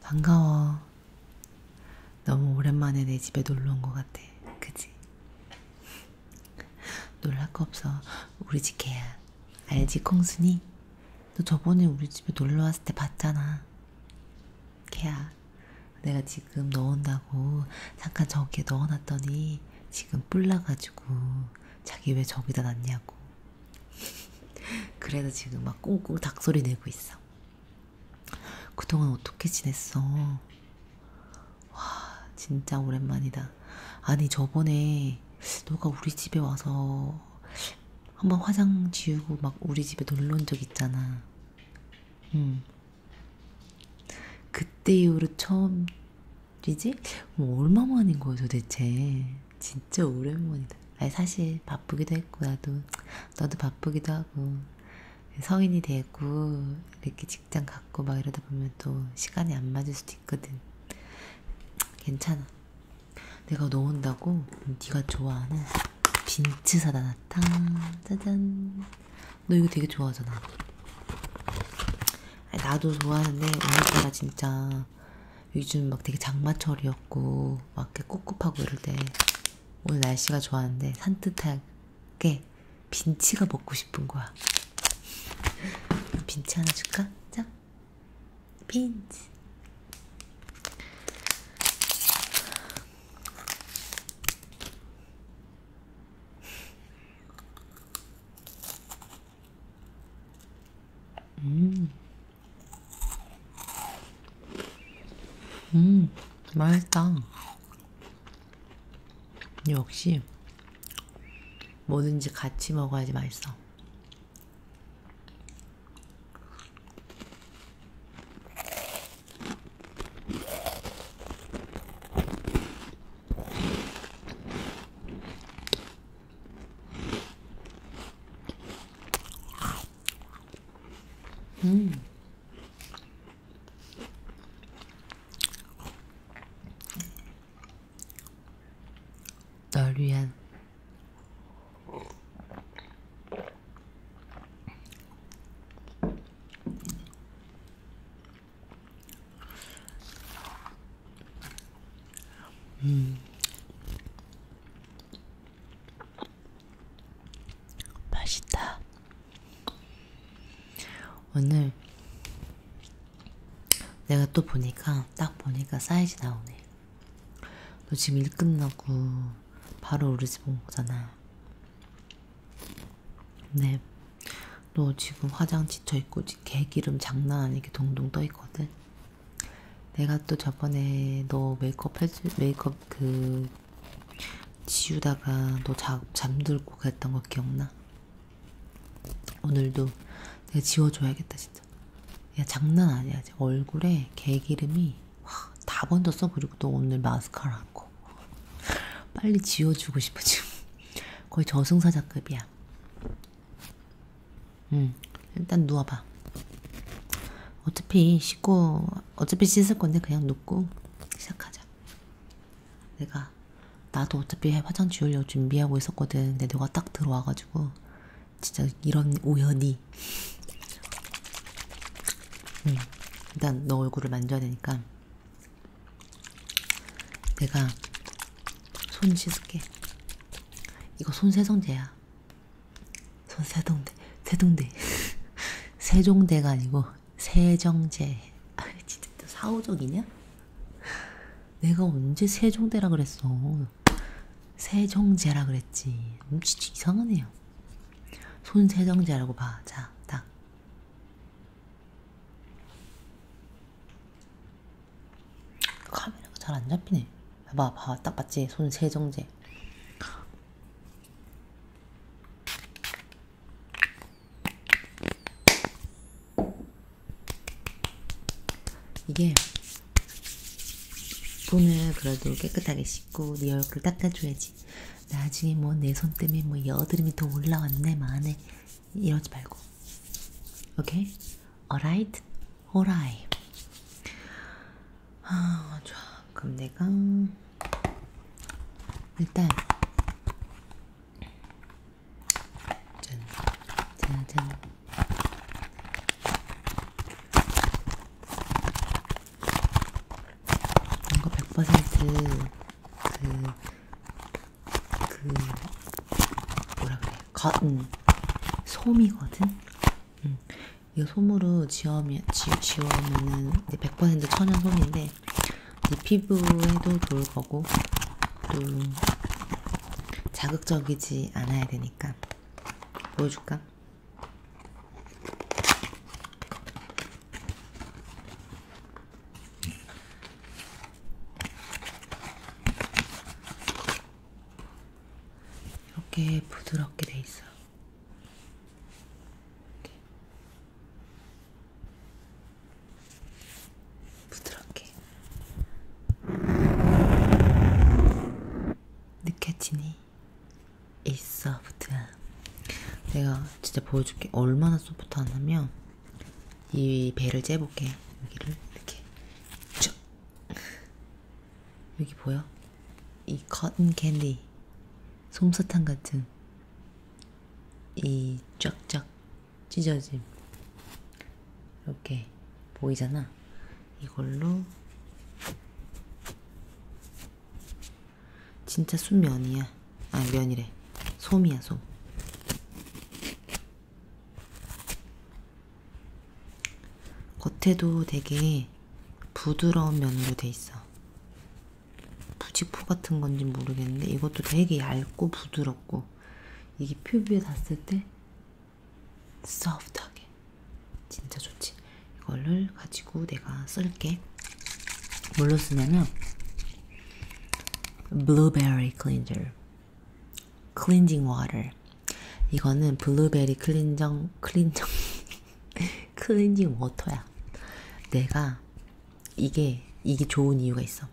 반가워. 너무 오랜만에 내 집에 놀러 온것 같아. 그지? 놀랄 거 없어. 우리 집 개야. 알지, 콩순이? 너 저번에 우리 집에 놀러 왔을 때 봤잖아. 개야, 내가 지금 넣은다고 잠깐 저기에 넣어놨더니 지금 뿔나가지고 자기 왜 저기다 놨냐고. 그래서 지금 막 꽁꽁 닭소리 내고 있어. 그동안 어떻게 지냈어? 와, 진짜 오랜만이다. 아니, 저번에 너가 우리 집에 와서 한번 화장 지우고 막 우리 집에 놀러 온 적 있잖아. 응. 음. 그때 이후로 처음이지? 뭐 얼마 만인 거야 도대체? 진짜 오랜만이다. 아니 사실 바쁘기도 했고 나도 너도 바쁘기도 하고 성인이 되고 이렇게 직장 갖고 막 이러다 보면 또 시간이 안 맞을 수도 수도 있거든. 괜찮아. 내가 넣은다고 음, 네가 좋아하는 빈츠 사다 놨다. 짜잔. 너 이거 되게 좋아하잖아. 나도 좋아하는데 오늘따라 진짜 요즘 막 되게 장마철이었고 막 이렇게 꿉꿉하고 이럴 때 오늘 날씨가 좋았는데 산뜻하게 빈치가 먹고 싶은 거야. 빈치 하나 줄까? 자, 빈치. 음, 음, 맛있다. 역시 뭐든지 같이 먹어야지 맛있어. 음. 널 위한 음. 맛있다. 오늘 내가 또 보니까 딱 보니까 사이즈 나오네. 너 지금 일 끝나고 바로 우리 집 온 거잖아. 네. 너 지금 화장 지쳐 있고 개기름 장난 아니게 동동 떠 있거든. 내가 또 저번에 너 메이크업 해주 메이크업 그 지우다가 너잠 잠들고 그랬던 거 기억나? 오늘도 내가 지워줘야겠다 진짜. 야 장난 아니야. 얼굴에 개기름이 다 번졌어. 그리고 또 오늘 마스카라 한 거. 빨리 지워주고 싶어 지금. 거의 저승사자급이야. 응. 일단 누워봐. 어차피 씻고 어차피 씻을 건데 그냥 눕고 시작하자. 내가 하다가 나도 어차피 화장 지우려고 준비하고 있었거든. 근데 너가 딱 들어와가지고 진짜 이런 우연이. 응. 일단 너 얼굴을 만져야 되니까 내가 손 씻을게. 이거 손 세정제야. 손 세동대, 세동대, 세종대가 아니고 세정제. 아, 진짜 또 사오적이냐? 내가 언제 세종대라 그랬어. 세종제라 그랬지. 음, 진짜 이상하네요. 손세정제라고 봐. 자, 딱. 카메라가 잘 안 잡히네. 봐봐, 봐. 딱 봤지? 손세정제. 이게 돈을 그래도 깨끗하게 씻고 네 얼굴 닦아줘야지. 나중에 뭐 내 손 때문에 뭐 여드름이 더 올라왔네 만에 이러지 말고. 오케이? alright, alright. 아 좋아. 그럼 내가 일단 짠, 짠, 짠. 이거 100%그 그 뭐라 그래? 거튼 솜이거든. 응. 음. 이거 솜으로 지어면 지우면은 100% 천연 솜인데 뭐 피부에도 좋을 거고 또 자극적이지 않아야 되니까 보여줄까? 이렇게 부드럽게 돼 있어. 이렇게. 부드럽게 느껴지니 이 소프트함 내가 진짜 보여줄게 얼마나 소프트하냐면 이 배를 째볼게 여기를 이렇게 쭉 여기 보여? 이 커튼 캔디 솜사탕 같은 이 쫙쫙 찢어짐. 이렇게 보이잖아. 이걸로 진짜 순면이야. 아, 면이래. 솜이야, 솜. 겉에도 되게 부드러운 면으로 돼 있어. 부직포 같은 건지 모르겠는데 이것도 되게 얇고 부드러워. 부드럽고 이게 피부에 닿았을 때 소프트하게 진짜 좋지. 이거를 가지고 내가 쓸게. 뭘로 쓰냐면 블루베리 클렌저, 클렌징 워터. 이거는 블루베리 클렌정, 클렌정, 클렌징 워터야. 내가 이게 이게 좋은 이유가 있어.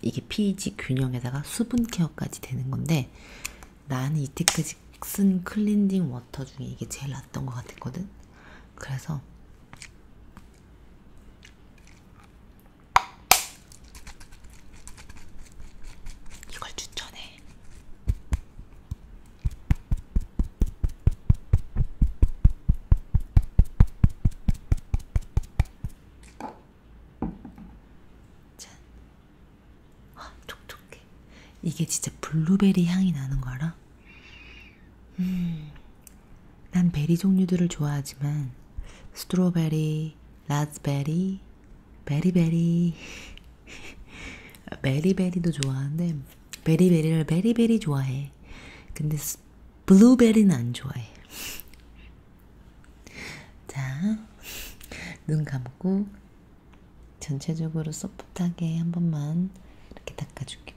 이게 pH 균형에다가 수분 케어까지 되는 건데 나는 이때까지 쓴 클렌징 워터 중에 이게 제일 낫던 것 같았거든. 그래서 이걸 추천해. 짠. 아, 촉촉해. 이게 진짜 블루베리 향이 나는 거 알아? 음, 난 베리 종류들을 좋아하지만 스트로베리, 라즈베리, 베리베리, 아, 베리베리도 좋아하는데 베리베리를 베리베리 좋아해. 근데 블루베리는 안 좋아해. 자, 눈 감고 전체적으로 소프트하게 한 번만 이렇게 닦아줄게.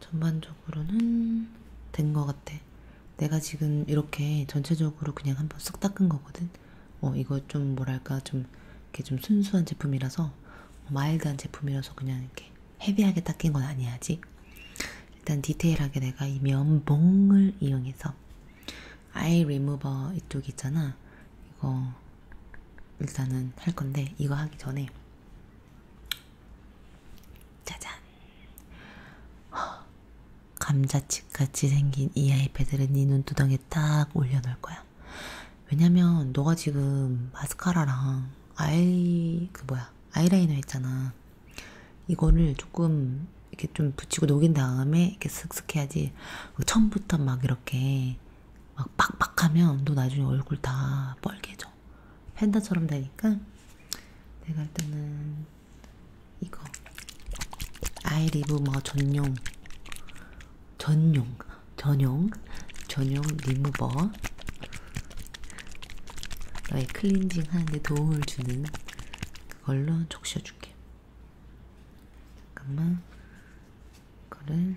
전반적으로는 된 것 같아. 내가 지금 이렇게 전체적으로 그냥 한번 쓱 닦은 거거든. 어, 이거 좀 뭐랄까 좀 이렇게 좀 순수한 제품이라서 어, 마일드한 제품이라서 그냥 이렇게 헤비하게 닦인 건 아니야지. 일단 디테일하게 내가 이 면봉을 이용해서 아이 리무버 이쪽 있잖아. 이거 일단은 할 건데 이거 하기 전에 짜잔. 감자칩같이 생긴 이 아이패드를 네 눈두덩이에 딱 올려놓을 거야. 왜냐면 너가 지금 마스카라랑 아이 그 뭐야 아이라이너 했잖아. 이거를 조금 이렇게 좀 붙이고 녹인 다음에 이렇게 슥슥 해야지. 그 처음부터 막 이렇게 막 빡빡하면 너 나중에 얼굴 다 뻘개져. 팬다처럼 되니까 내가 일단은 이거 아이리브 뭐 전용 전용 전용 전용 리무버 너의 클렌징 하는데 도움을 주는 그걸로 적셔줄게. 잠깐만 이거를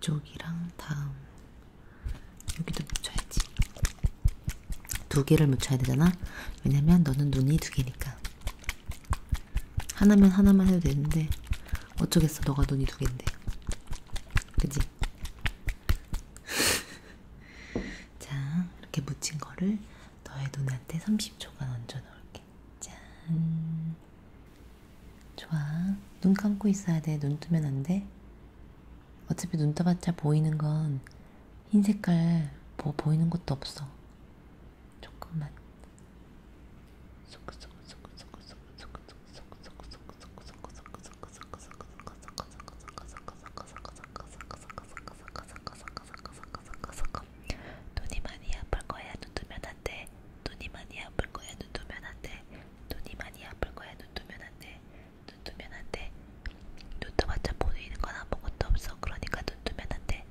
쪽이랑 다음 여기도 묻혀야지 두 개를 묻혀야 되잖아 왜냐면 너는 눈이 두 개니까 하나면 하나만 해도 되는데 어쩌겠어 너가 눈이 두 개인데 그지? 자 이렇게 묻힌 거를 너의 눈한테 30초간 얹어놓을게 짠. 좋아. 눈 감고 있어야 돼. 눈 뜨면 안 돼. 어차피 눈 떠봤자 보이는 건 흰 색깔 뭐 보이는 것도 없어. 조금만. 눈이 많이 아플 거야. 눈 뜨면 안 돼. 돼. 눈이 많이 아플 거야. 눈 뜨면 안 돼. 눈이 많이 아플 거야. 눈 뜨면 안 돼. 눈 뜨면 안 돼. 눈 뜨마자 보이는 건 아무것도 없어. 그러니까 눈 뜨면 안 돼.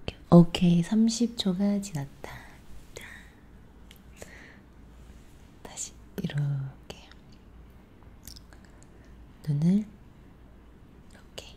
오케이. 오케이. 30초가 지났다. 자. 다시 이렇게. 눈을 이렇게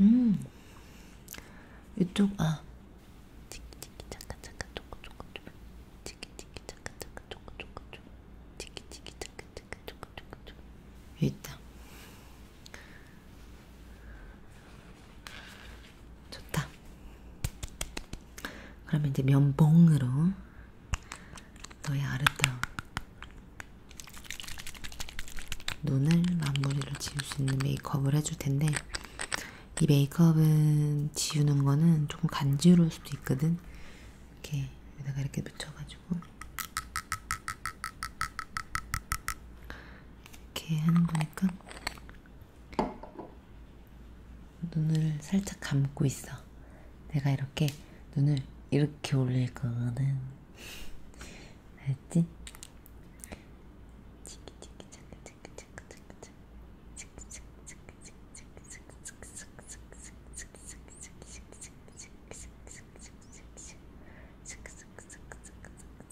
음 이쪽 아 치키치키 잠깐 잠깐 조금 조금 조금 치키치키 잠깐 잠깐 조금 조금 조금 치키치키 잠깐 잠깐 조금 조금 조금 있다 좋다. 그러면 이제 면봉으로 너의 아름다운 눈을 마무리를 지울 수 있는 메이크업을 해줄 텐데 이 메이크업은 지우는 거는 조금 간지러울 수도 있거든. 이렇게 여기다가 이렇게 묻혀가지고 이렇게 하는 거니까 눈을 살짝 감고 있어. 내가 이렇게 눈을 이렇게 올릴 거는 알지?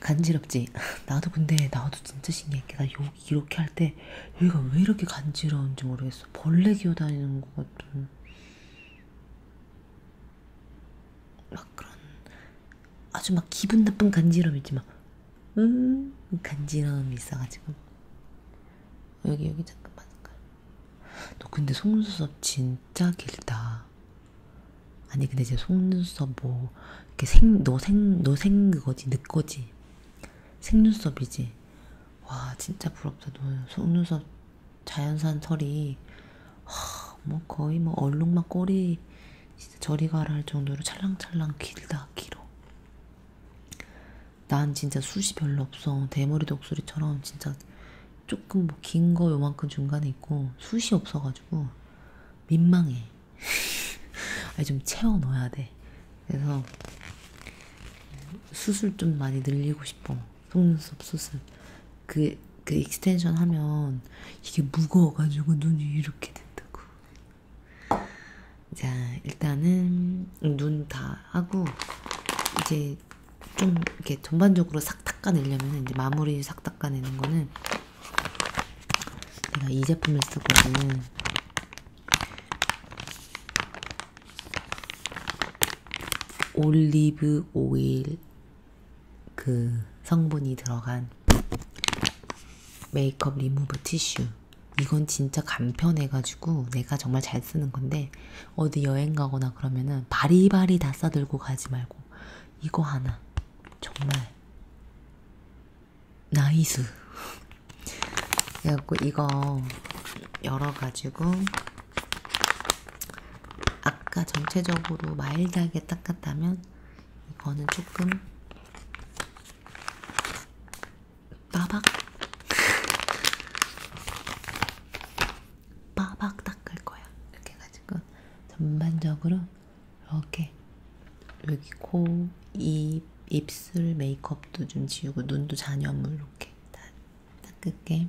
간지럽지? 나도 근데 나도 진짜 신기했게 나 여기 이렇게 할 때 여기가 왜 이렇게 간지러운지 모르겠어. 벌레 기어다니는 것 같은 막 그런 아주 막 기분 나쁜 간지럼 있지 막 음, 간지러움이 있어가지고. 여기, 여기 잠깐만, 잠깐. 너 근데 속눈썹 진짜 길다. 아니, 근데 이제 속눈썹 뭐, 이렇게 생, 너 생, 너 생 그거지, 내 거지. 생눈썹이지. 와, 진짜 부럽다. 너 속눈썹 자연산 털이, 하, 뭐 거의 뭐 얼룩만 꼬리, 진짜 저리 가라 할 정도로 찰랑찰랑 길다, 길어. 난 진짜 숱이 별로 없어. 대머리 독수리처럼 진짜 조금 뭐 긴거 요만큼 중간에 있고 숱이 없어가지고 민망해. 아니 좀 채워 넣어야 돼. 그래서 수술 좀 많이 늘리고 싶어. 속눈썹 수술. 그, 그 익스텐션 하면 이게 무거워가지고 눈이 이렇게 된다고. 자, 일단은 눈 다 하고 이제 좀 이렇게 전반적으로 싹 닦아내려면 이제 마무리 싹 닦아내는 거는 제가 이 제품을 쓰거든요. 올리브 오일 그 성분이 들어간 메이크업 리무브 티슈 이건 진짜 간편해가지고 내가 정말 잘 쓰는 건데 어디 여행 가거나 그러면은 바리바리 다 싸들고 가지 말고 이거 하나 정말 나이스 그래갖고 이거 열어가지고 아까 전체적으로 마일드하게 닦았다면 이거는 조금 빠박 빠박 닦을 거야. 이렇게 해가지고 전반적으로 이렇게 여기 코, 입, 입술 메이크업도 좀 지우고 눈도 잔여물 이렇게 다 닦을게.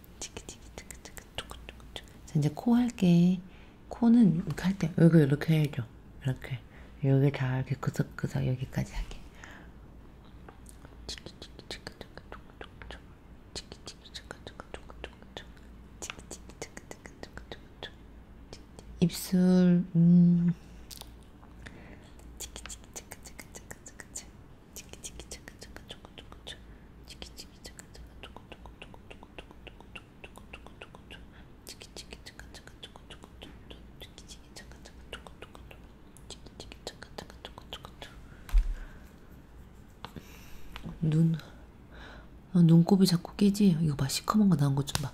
자, 이제 코 할게. 코는 이렇게 할 때, 여기 이렇게 해줘. 이렇게. 여기 다 이렇게 그석그석 여기까지 하게. 입술, 음. 치키치키 잠깐 잠깐 조금 조금 조 치키치키 잠깐 잠깐 조금 조금 조금 조금 조금 조금 조금 조금 조금 조 치키치키 잠깐 잠깐 조금 조금 조금 치키치키 잠깐 잠깐 조금 조금 조금 치키치키 잠깐 잠깐 조금 조금 눈 아, 눈곱이 자꾸 깨지? 이거 봐 시커먼 거 나온 것좀 봐.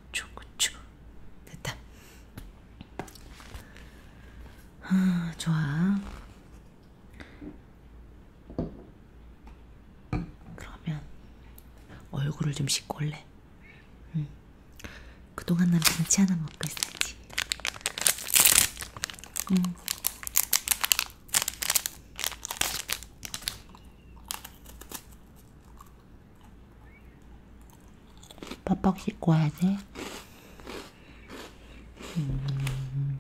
고추 고추 됐다 아, 좋아 그러면 얼굴을 좀 씻고 올래 응. 그동안 난 김치 하나 먹고 있었지 응. 빡빡 씻고 와야 돼. 음.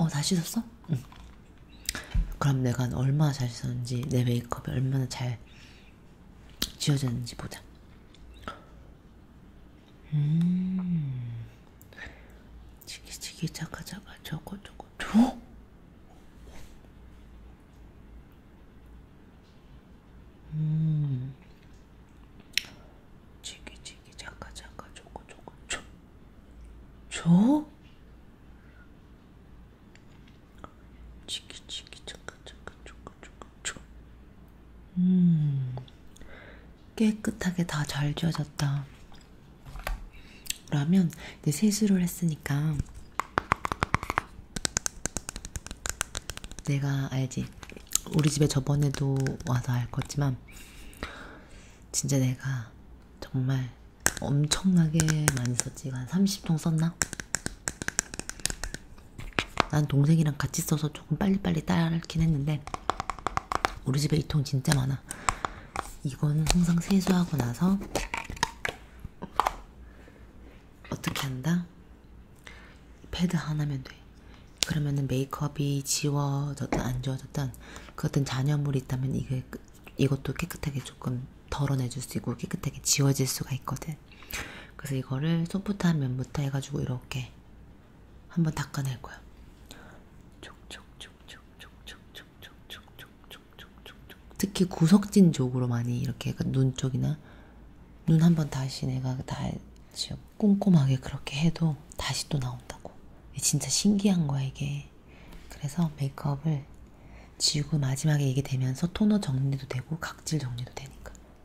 어, 다 씻었어? 응. 그럼 내가 얼마나 잘 씻었는지, 내 메이크업이 얼마나 잘 지워졌는지 보자. 음. 치기치기 자가자가 저거 저거 저. 음. 치기치기 자가자가 저거 저거 저. 저? 치기치기 자가자가 저거 저거 식초. 그렇죠. 음, 깨끗하게 다 잘 지워졌다. 라면 이제 세수를 했으니까 내가 알지. 우리 집에 저번에도 와서 알겠지만 진짜 내가 정말 엄청나게 많이 썼지. 한 30통 썼나? 난 동생이랑 같이 써서 조금 빨리빨리 따긴 했는데 우리 집에 이 통 진짜 많아. 이거는 항상 세수하고 나서 어떻게 한다? 패드 하나면 돼. 그러면은 메이크업이 지워졌든 안 지워졌든 그 어떤 잔여물이 있다면 이게 이것도 깨끗하게 조금 덜어내줄 수 있고 깨끗하게 지워질 수가 있거든. 그래서 이거를 소프트한 면부터 해가지고 이렇게 한번 닦아낼 거야. 특히 구석진 쪽으로 많이 이렇게 눈 쪽이나 눈 한번 다시 내가 다시 꼼꼼하게 그렇게 해도 다시 또 나온다고. 진짜 신기한 거야 이게. 그래서 메이크업을 지우고 마지막에 이게 되면서 토너 정리도 되고 각질 정리도 되니까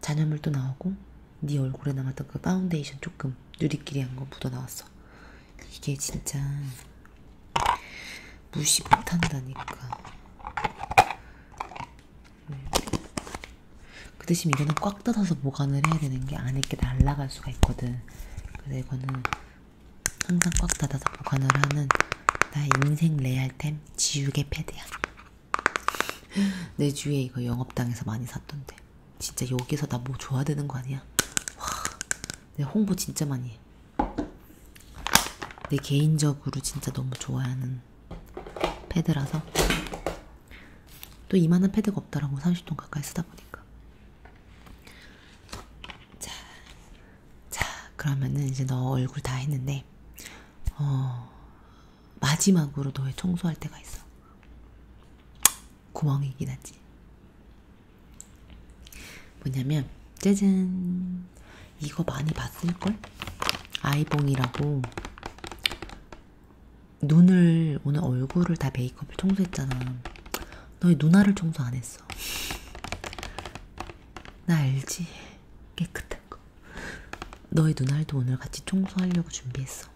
잔여물도 나오고 네 얼굴에 남았던 그 파운데이션 조금 누리끼리 한 거 묻어 나왔어. 이게 진짜 무시 못한다니까. 음. 그 대신 이거는 꽉 뜯어서 보관을 해야 되는 게 안에 이렇게 날아갈 수가 있거든. 그래서 이거는 항상 꽉 닫아서 보관을 하는 나의 인생 레알템 지우개 패드야. 내 주위에 이거 영업당에서 많이 샀던데. 진짜 여기서 나뭐 줘야 되는 거 아니야? 와, 내 홍보 진짜 많이 해. 내 개인적으로 진짜 너무 좋아하는 패드라서. 또 이만한 패드가 없더라고, 30돈 가까이 쓰다 보니까. 자, 자, 그러면은 이제 너 얼굴 다 했는데, 어, 마지막으로 너의 청소할 때가 있어. 구멍이긴 하지. 뭐냐면 짜잔 이거 많이 봤을걸? 아이봉이라고 눈을 오늘 얼굴을 다 메이크업을 청소했잖아. 너의 누나를 청소 안 했어. 나 알지? 깨끗해. 같은 거. 너의 눈알도 오늘 같이 청소하려고 준비했어.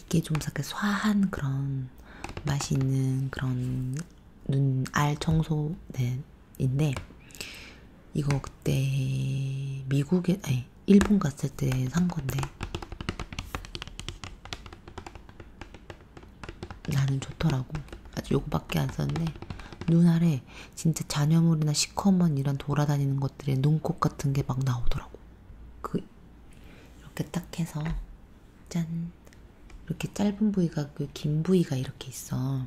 이게 좀 약간 화한 그런 맛이 있는 그런 눈알 청소인데 네, 이거 그때 미국에 아니 일본 갔을 때 산 건데 나는 좋더라고. 아직 요거밖에 안 썼는데 눈알에 진짜 잔여물이나 시커먼 이런 돌아다니는 것들에 눈곱 같은 게 막 나오더라고. 그 이렇게 딱 해서 짠 이렇게 짧은 부위가 그 긴 부위가 이렇게 있어.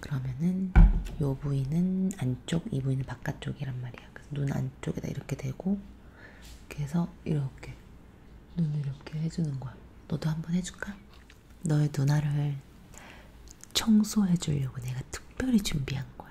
그러면은 요 부위는 안쪽, 이 부위는 바깥쪽이란 말이야. 그래서 눈 안쪽에다 이렇게 대고 이렇게 해서 이렇게 눈 이렇게 해주는 거야. 너도 한번 해줄까? 너의 누나를 청소해주려고 내가 특별히 준비한 거야.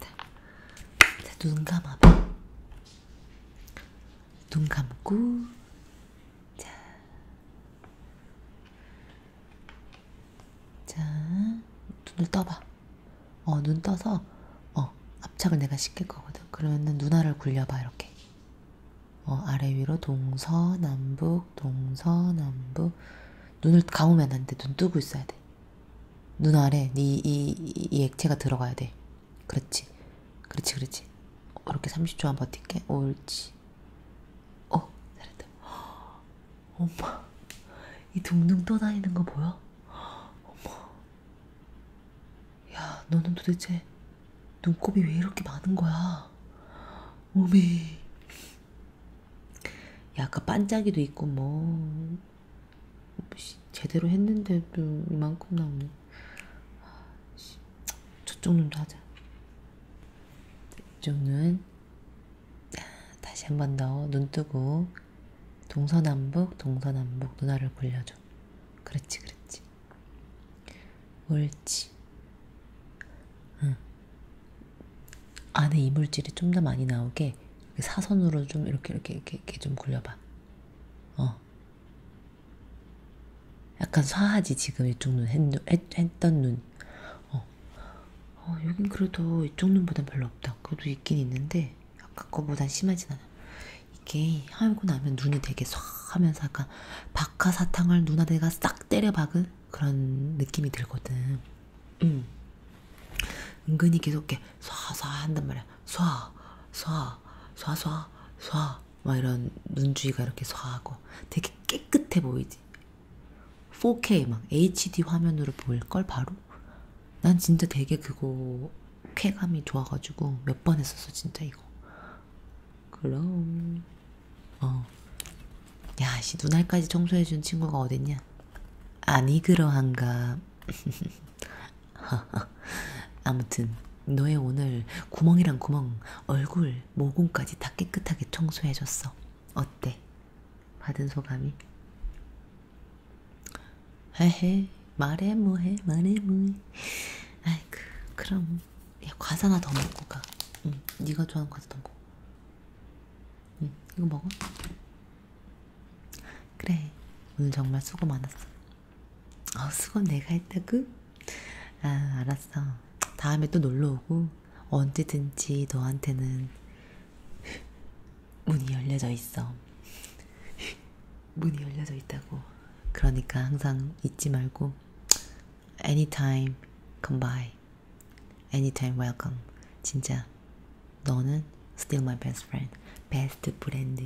자, 자, 눈 감아봐. 눈 감고, 자, 자, 눈을 떠봐. 어, 눈 떠서, 어, 압착을 내가 시킬 거거든. 그러면은 눈알을 굴려봐, 이렇게. 어, 아래 위로 동서남북, 동서남북. 눈을 감으면 안 돼. 눈 뜨고 있어야 돼. 눈 아래 네이 이, 이 액체가 들어가야 돼. 그렇지. 그렇지, 그렇지. 이렇게 30초만 버틸게. 옳지. 어, 잘했다. 허, 엄마, 이 둥둥 떠다니는 거 뭐야? 허, 엄마. 야, 너는 도대체 눈곱이 왜 이렇게 많은 거야? 오미. 야, 아까 그 반짝이도 있고 뭐. 뭐 제대로 했는데도 이만큼 나오네. 아, 저쪽 눈도 하자. 이쪽 눈. 다시 한 번 더 눈 뜨고 동서남북 동서남북 눈알을 굴려줘. 그렇지 그렇지. 옳지. 응. 안에 이물질이 좀 더 많이 나오게 사선으로 좀 이렇게 이렇게 이렇게, 이렇게 좀 굴려봐. 어. 약간 화하지 지금 이쪽 눈 했, 했, 했던 눈. 어. 어, 여긴 그래도 이쪽 눈보단 별로 없다. 그래도 있긴 있는데 아까 거보단 심하진 않아. 이게 하고 나면 눈이 되게 싹 하면서 약간 박하사탕을 눈아래가 싹 때려 박은 그런 느낌이 들거든. 음. 은근히 계속 이렇게 쏴쏴 한단 말이야. 쏴, 쏴, 쏴, 쏴, 쏴. 막 이런 눈 주위가 이렇게 쏴하고 되게 깨끗해 보이지. 4K 막 HD 화면으로 보일 걸 바로. 난 진짜 되게 그거 쾌감이 좋아가지고 몇 번 했었어 진짜 이거. 그럼. 어. 야, 씨 눈알까지 청소해준 친구가 어딨냐? 아니 그러한가. 아무튼 너의 오늘 구멍이랑 구멍, 얼굴, 모공까지 다 깨끗하게 청소해줬어. 어때? 받은 소감이? 헤헤, 말해 뭐해, 말해 뭐해. 아이고, 그럼 야, 과자나 더 먹고 가. 응, 네가 좋아하는 과자 더 먹고. 응, 이거 먹어. 그래, 오늘 정말 수고 많았어. 어, 수고 내가 했다고? 아, 알았어. 다음에 또 놀러 오고, 언제든지 너한테는 문이 열려져 있어. 문이 열려져 있다고. 그러니까 항상 잊지 말고, anytime come by, anytime welcome. 진짜 너는 still my best friend. 베스트 브랜드.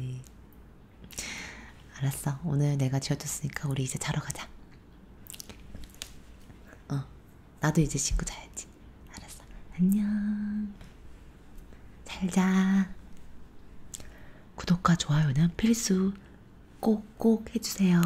알았어. 오늘 내가 지어줬으니까 우리 이제 자러 가자. 어, 나도 이제 씻고 자야지. 알았어. 안녕. 잘 자. 구독과 좋아요는 필수. 꼭꼭 해주세요.